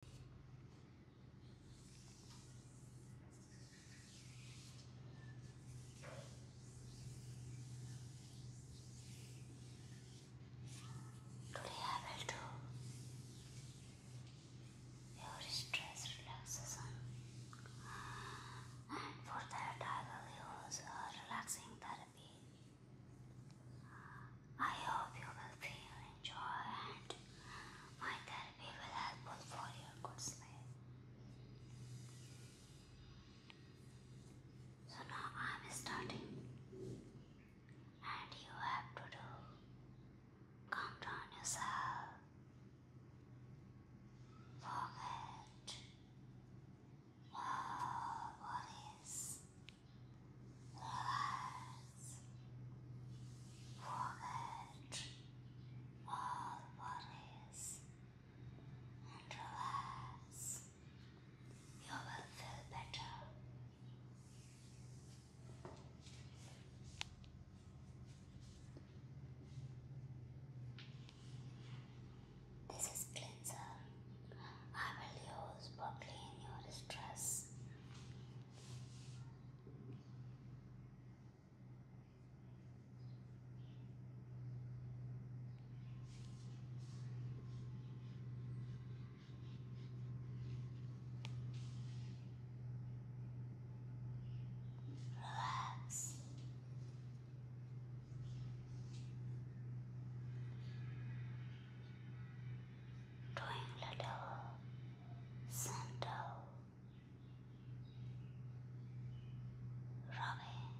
Today I will do your stress relaxation and for that I will use a relaxing therapy. I hope you will feel enjoy and my therapy will help for your good smile. So now I am starting and you have to do calm down yourself, forget uh, all worries Let's forget all worries and relax. You will feel better. This is cleanser. I will use for clean your stress doing little Sandal rubbing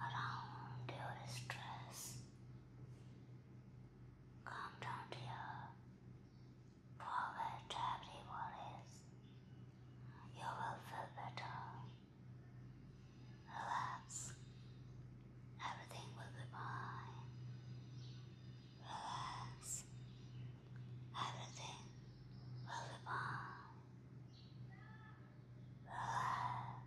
around your stress. Come down here, forget every worries. You will feel better. Relax. Everything will be fine relax. Everything will be fine. Relax. Relax.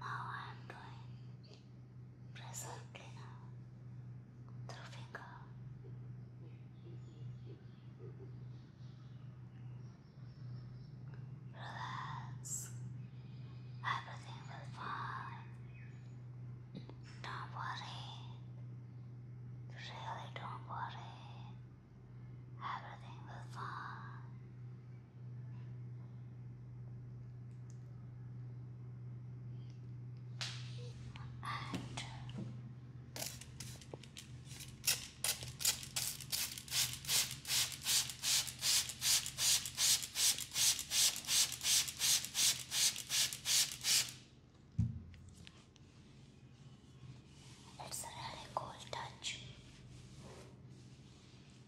Now I am doing pressure cleaner through finger. Relax. Everything will fine. Don't worry. Really don't worry. Everything will fine. It's a really cool touch.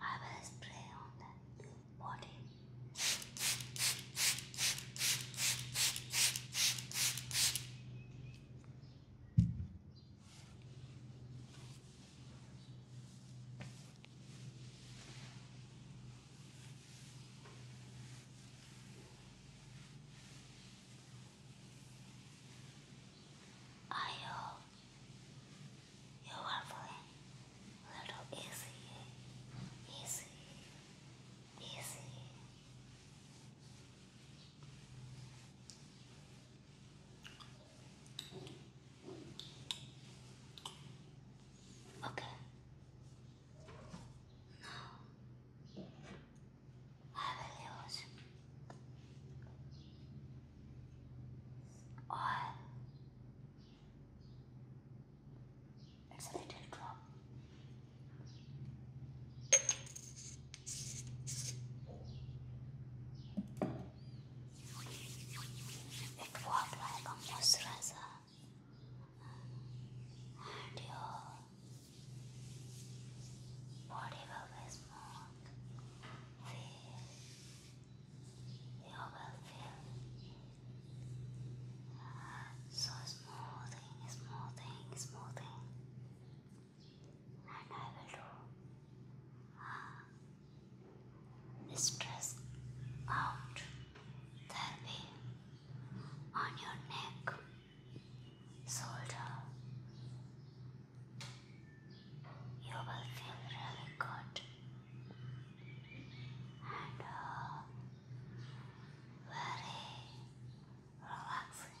I will spray on that body. I hope you are feeling a little easy, easy, easy. Okay. Now Maravilhoso. Oil. It's a little drop. It was like a moisturizer and Whatever we smoke, feel, you will feel so smoothing, smoothing, smoothing, and I will do uh, stress out therapy on your neck. Soldier, you will feel really good and uh, very relaxing.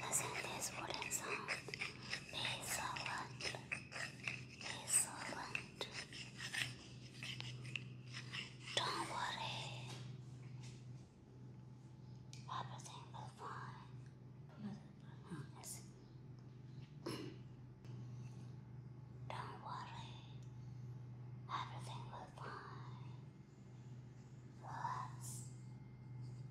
Listen to this wooden sound. Be Don't worry. Everything will fine. Don't worry. Everything will fine. Relax.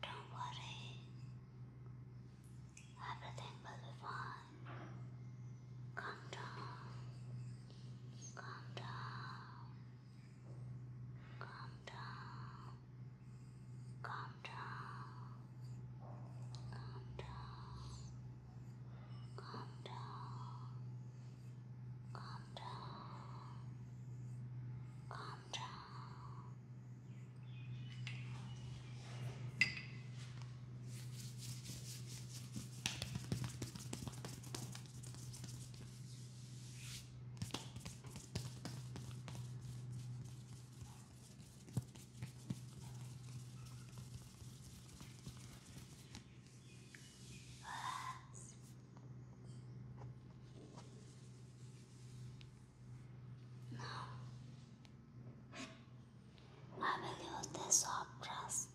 Don't worry, everything will be fine. Calm down, calm down, calm down, calm down, calm down, calm down. Calm down. Calm down. Now, I will use this soft brush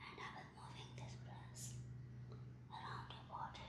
and I will moving this brush around your body.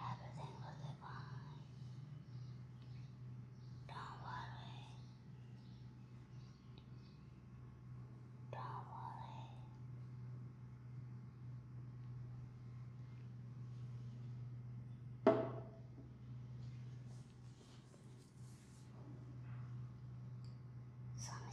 Everything will be fine. Don't worry. Don't worry. Some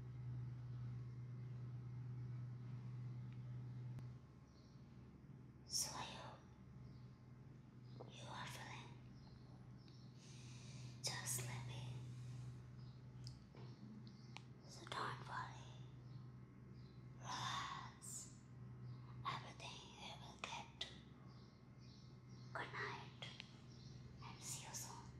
So I you are feeling just sleepy. So don't worry. Relax. Everything you will get Good night and see you soon.